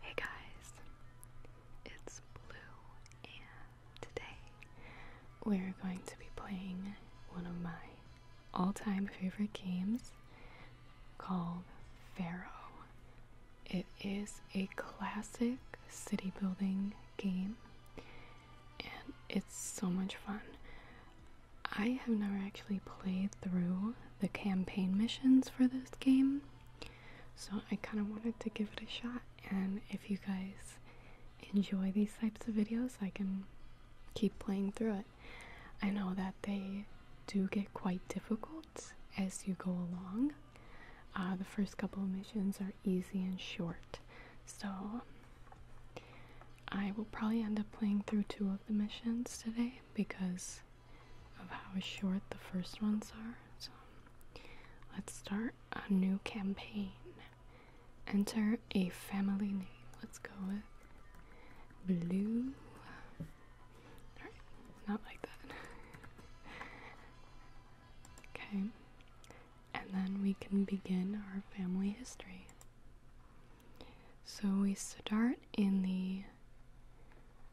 Hey guys, it's Blue, and today we're going to be playing one of my all time favorite games called Pharaoh. It is a classic city building game, and it's so much fun. I have never actually played through the campaign missions for this game. So I kind of wanted to give it a shot, and if you guys enjoy these types of videos, I can keep playing through it. I know that they do get quite difficult as you go along. Uh, the first couple of missions are easy and short, so I will probably end up playing through two of the missions today because of how short the first ones are. So let's start a new campaign. Enter a family name. Let's go with Blue. not like that. okay, and then we can begin our family history. So we start in the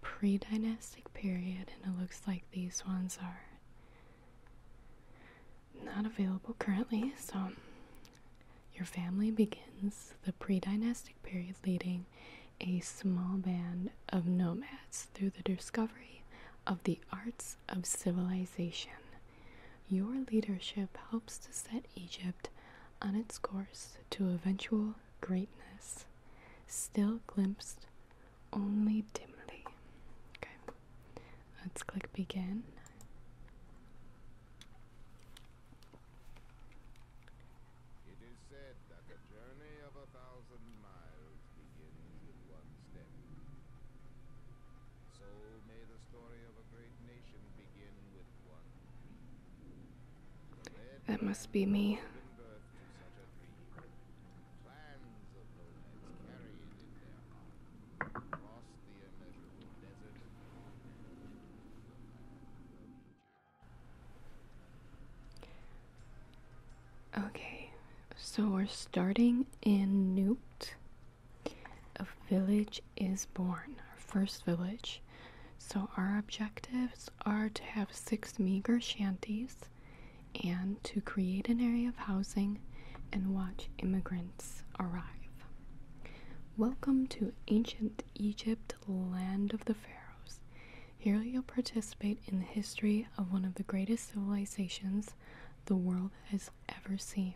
pre dynastic period, and it looks like these ones are not available currently. So your family begins the pre dynastic period leading a small band of nomads through the discovery of the arts of civilization. Your leadership helps to set Egypt on its course to eventual greatness, still glimpsed only dimly. Okay, let's click begin. It is said that the journey of a thousand miles begins with one step. So may the story of a great nation begin with that must be me. Okay, so we're starting in Newt. A village is born, our first village. So, our objectives are to have six meager shanties and to create an area of housing and watch immigrants arrive. Welcome to ancient Egypt, land of the pharaohs. Here you'll participate in the history of one of the greatest civilizations the world has ever seen,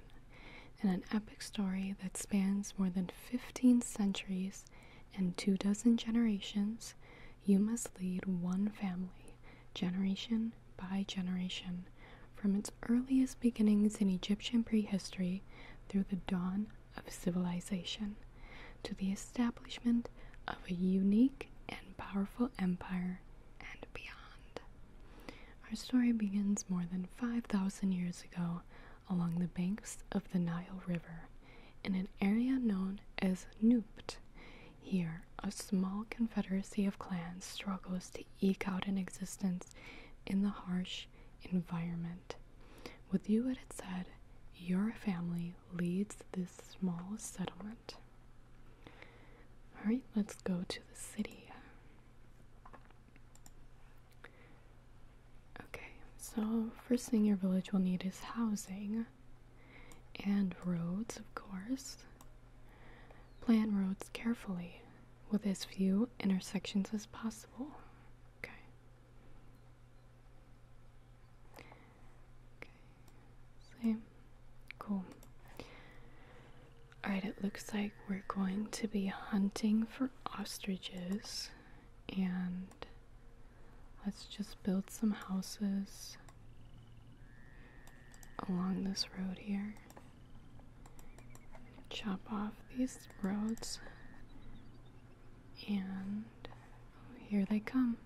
in an epic story that spans more than 15 centuries in two dozen generations, you must lead one family, generation by generation, from its earliest beginnings in Egyptian prehistory through the dawn of civilization to the establishment of a unique and powerful empire and beyond. Our story begins more than 5,000 years ago along the banks of the Nile River in an area known as Nubt. Here, a small confederacy of clans struggles to eke out an existence in the harsh environment. With you at its head, your family leads this small settlement. Alright, let's go to the city. Okay, so first thing your village will need is housing and roads, of course. Plan roads carefully with as few intersections as possible. Okay. Okay. Same. Cool. Alright, it looks like we're going to be hunting for ostriches and let's just build some houses along this road here. Chop off these roads, and here they come.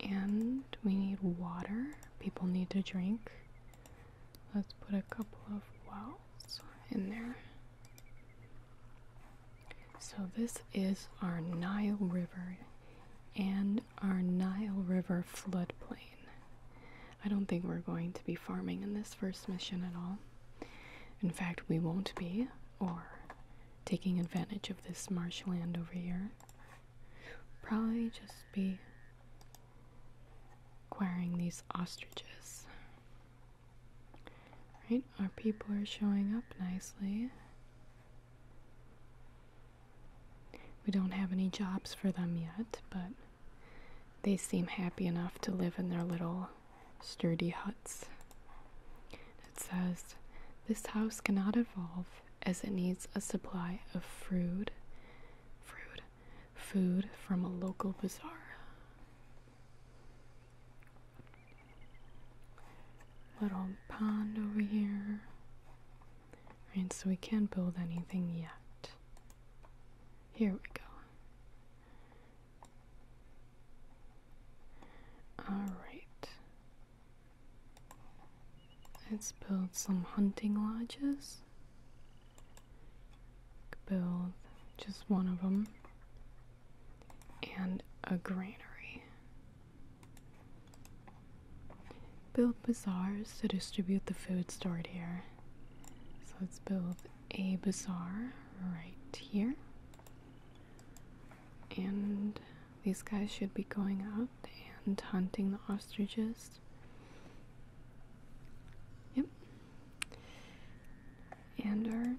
And we need water, people need to drink. Let's put a couple of wells in there. So, this is our Nile River and our Nile River floodplain. I don't think we're going to be farming in this first mission at all. In fact, we won't be, or taking advantage of this marshland over here. Probably just be acquiring these ostriches. Right, our people are showing up nicely. We don't have any jobs for them yet, but they seem happy enough to live in their little sturdy huts. It says, This house cannot evolve as it needs a supply of fruit, fruit, food from a local bazaar. Little pond over here. Right, so we can't build anything yet. Here we go. Alright. Let's build some hunting lodges build just one of them and a granary. Build bazaars to distribute the food stored here. So let's build a bazaar right here. And these guys should be going out and hunting the ostriches. Yep. And our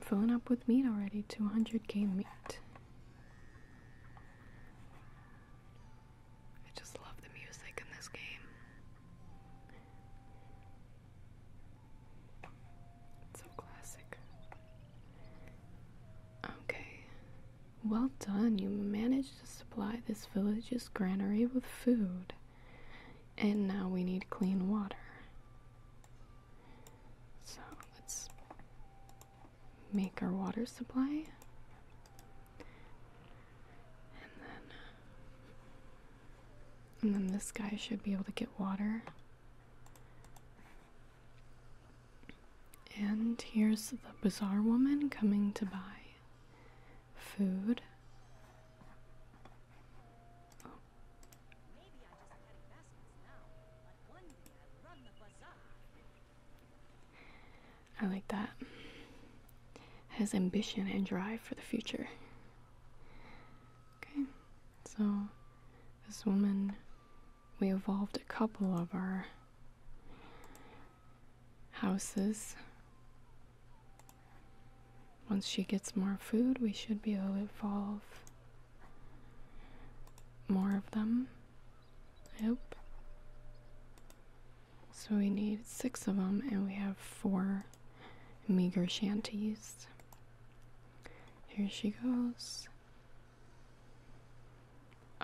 filling up with meat already 200k meat. I just love the music in this game. It's so classic. Okay. Well done. You managed to supply this village's granary with food. And now we need clean water. So let's make our water supply. And then and then this guy should be able to get water. And here's the bizarre woman coming to buy food. I like that. Has ambition and drive for the future. Okay, so this woman, we evolved a couple of our houses once she gets more food, we should be able to evolve more of them. I hope. So we need six of them, and we have four meager shanties. Here she goes.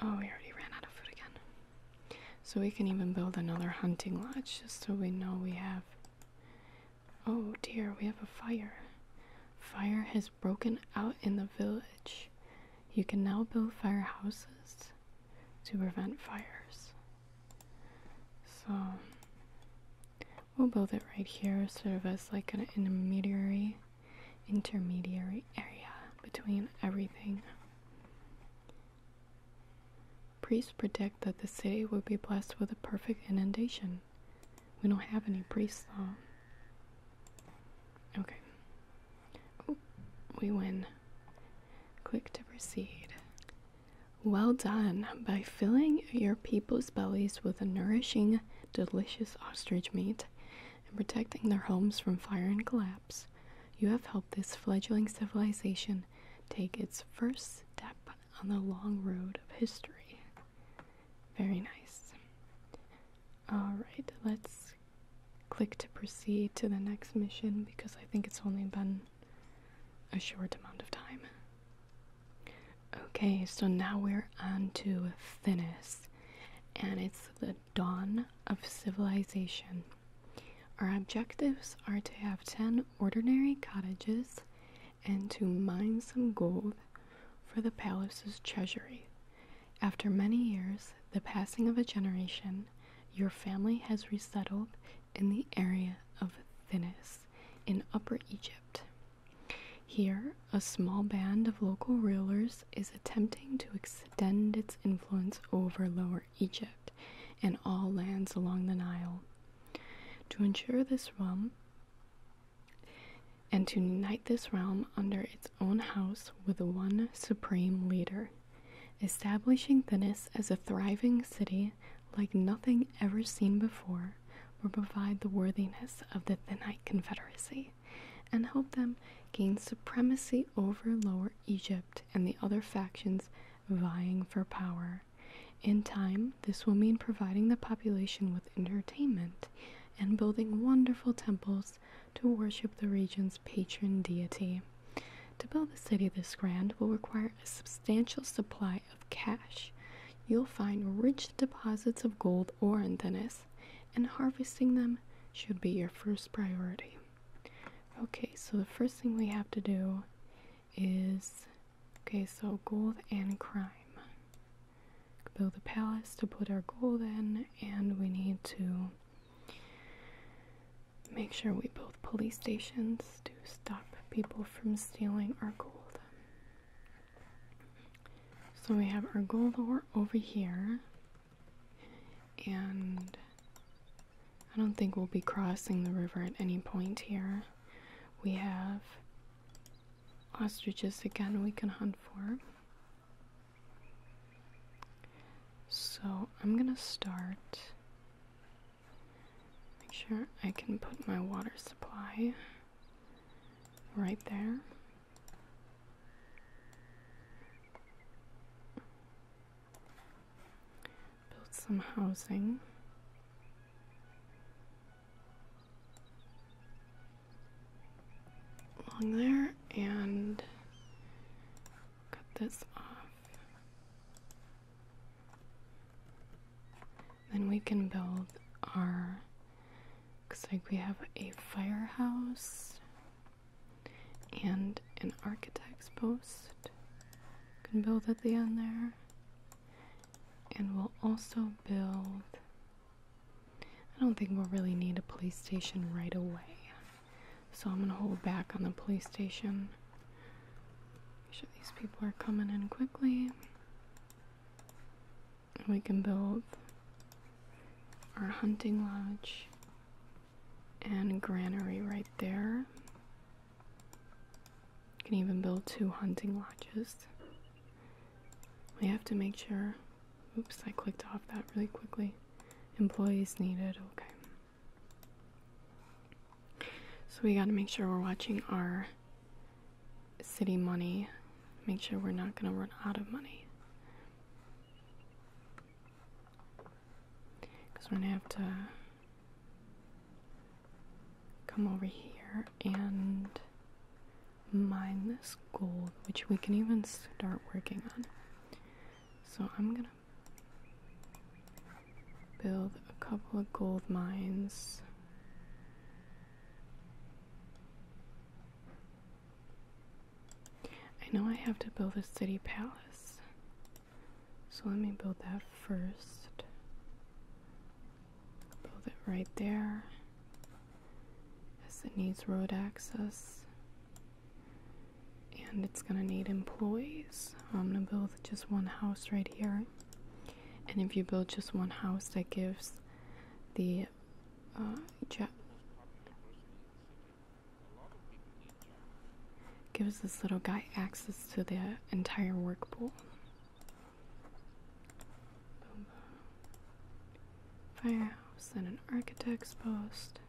Oh, we already ran out of food again. So we can even build another hunting lodge just so we know we have Oh dear, we have a fire. Fire has broken out in the village. You can now build firehouses to prevent fires. So we'll build it right here, sort of as like an intermediary intermediary area between everything. Priests predict that the city will be blessed with a perfect inundation. We don't have any priests though. Okay. we win. Click to proceed. Well done. By filling your people's bellies with a nourishing, delicious ostrich meat and protecting their homes from fire and collapse, you have helped this fledgling civilization take its first step on the long road of history. Very nice. Alright, let's click to proceed to the next mission because I think it's only been a short amount of time. Okay, so now we're onto to and it's the dawn of civilization. Our objectives are to have 10 ordinary cottages and to mine some gold for the palace's treasury. After many years, the passing of a generation, your family has resettled in the area of Thinis in Upper Egypt. Here, a small band of local rulers is attempting to extend its influence over Lower Egypt and all lands along the Nile. To ensure this realm and to unite this realm under its own house with one supreme leader, establishing Thinis as a thriving city like nothing ever seen before, will provide the worthiness of the Thinite Confederacy and help them gain supremacy over Lower Egypt and the other factions vying for power. In time, this will mean providing the population with entertainment and building wonderful temples to worship the region's patron deity. To build a city this grand will require a substantial supply of cash. You'll find rich deposits of gold ore in Venice, and harvesting them should be your first priority. Okay, so the first thing we have to do is Okay, so gold and crime. Build a palace to put our gold in, and we need to make sure we build police stations to stop people from stealing our gold. So we have our gold over here, and I don't think we'll be crossing the river at any point here. We have ostriches again we can hunt for. So I'm gonna start. Make sure I can put my water supply right there build some housing. Along there and cut this off. Then we can build our. Looks like we have a firehouse and an architect's post. Can build at the end there. And we'll also build. I don't think we'll really need a police station right away. So I'm going to hold back on the police station. Make sure these people are coming in quickly. we can build our hunting lodge and granary right there can even build two hunting lodges. We have to make sure. Oops, I clicked off that really quickly. Employees needed, okay. So we gotta make sure we're watching our city money. Make sure we're not gonna run out of money. Because we're gonna have to come over here and mine this gold, which we can even start working on. So I'm gonna build a couple of gold mines. I know I have to build a city palace. So let me build that first. Build it right there as it needs road access. And it's going to need employees. I'm going to build just one house right here. And if you build just one house, that gives the uh, gives this little guy access to the entire work pool. Boom. Firehouse, then an architect's post,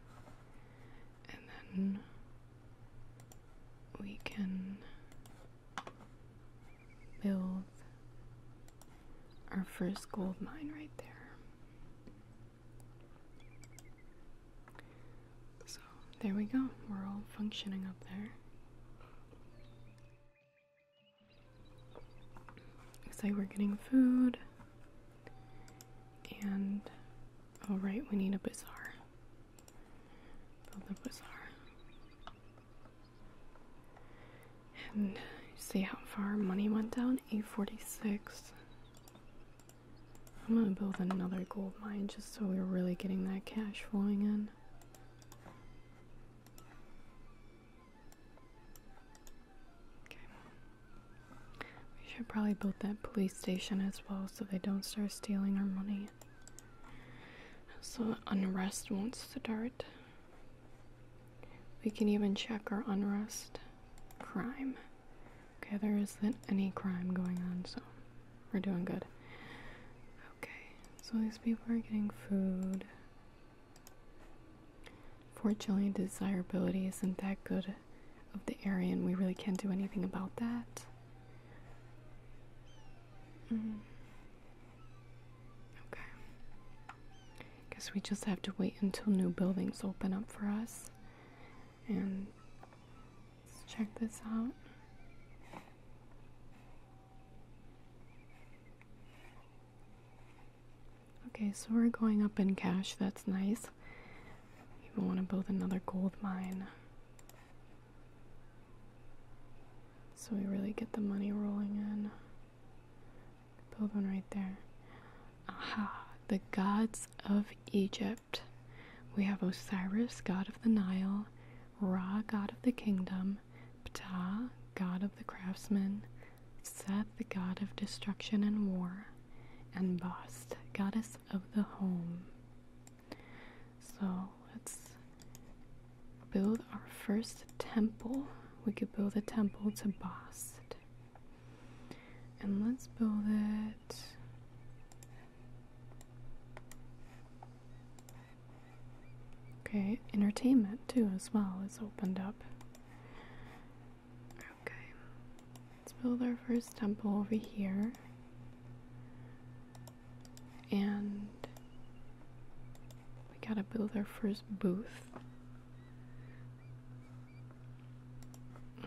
and then we can build our first gold mine right there. So there we go, we're all functioning up there. Looks like we're getting food. And all oh, right, we need a bazaar. Build a bazaar. And see how far money went down? 846. I'm gonna build another gold mine just so we're really getting that cash flowing in. Okay. We should probably build that police station as well so they don't start stealing our money. So unrest wants to start. We can even check our unrest crime. Okay, there isn't any crime going on, so we're doing good. Okay, so these people are getting food. Fortunately, desirability isn't that good of the area, and we really can't do anything about that. Mm. Okay. Guess we just have to wait until new buildings open up for us. And Let's check this out. Okay, so we're going up in cash. That's nice. We want to build another gold mine. So we really get the money rolling in. Build one right there. Aha! The gods of Egypt. We have Osiris, god of the Nile, Ra, god of the kingdom, Ptah, god of the craftsmen, Seth, the god of destruction and war, and Bast, goddess of the home. So let's build our first temple. We could build a temple to Bast. And let's build it Okay, entertainment too, as well, is opened up. Okay, let's build our first temple over here. And we gotta build our first booth.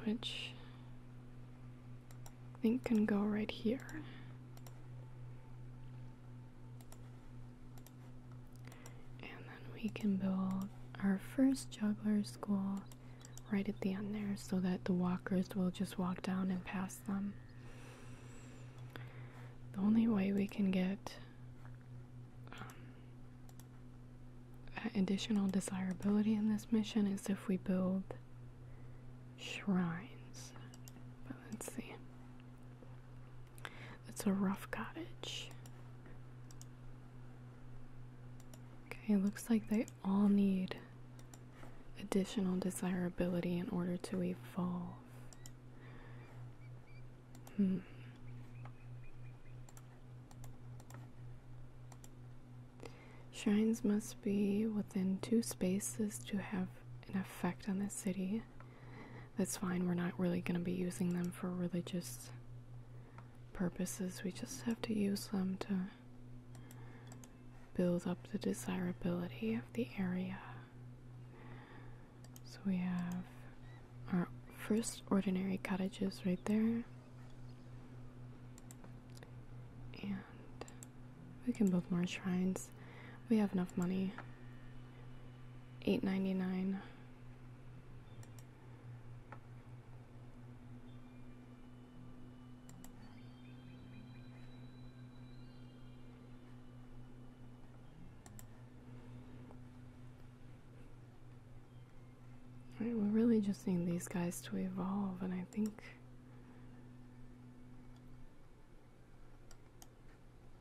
Which think can go right here. And then we can build our first juggler school right at the end there so that the walkers will just walk down and pass them. The only way we can get um, additional desirability in this mission is if we build shrines. But let's see. It's a rough cottage. Okay, looks like they all need additional desirability in order to evolve. Hmm. Shrines must be within two spaces to have an effect on the city. That's fine, we're not really going to be using them for religious purposes. We just have to use them to build up the desirability of the area. So we have our first ordinary cottages right there. And we can build more shrines. We have enough money. Eight ninety nine. we're really just need these guys to evolve, and I think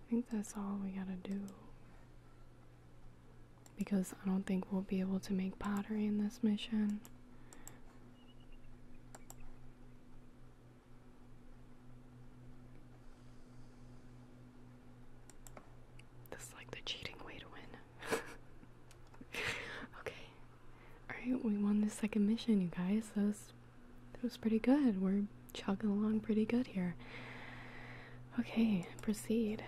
I think that's all we gotta do. Because I don't think we'll be able to make pottery in this mission. This is like the cheating way to win. okay. Alright, we won the second mission, you guys. That that was pretty good. We're chugging along pretty good here. Okay, proceed.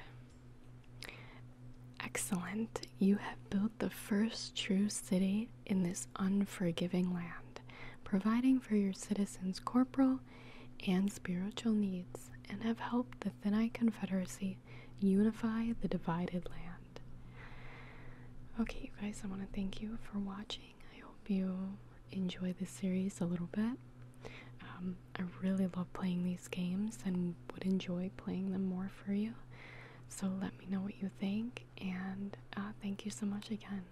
Excellent. You have built the first true city in this unforgiving land, providing for your citizens' corporal and spiritual needs, and have helped the Thinite Confederacy unify the divided land. Okay, you guys, I want to thank you for watching. I hope you enjoy this series a little bit. Um, I really love playing these games and would enjoy playing them more for you. So let me know what you think, and uh, thank you so much again.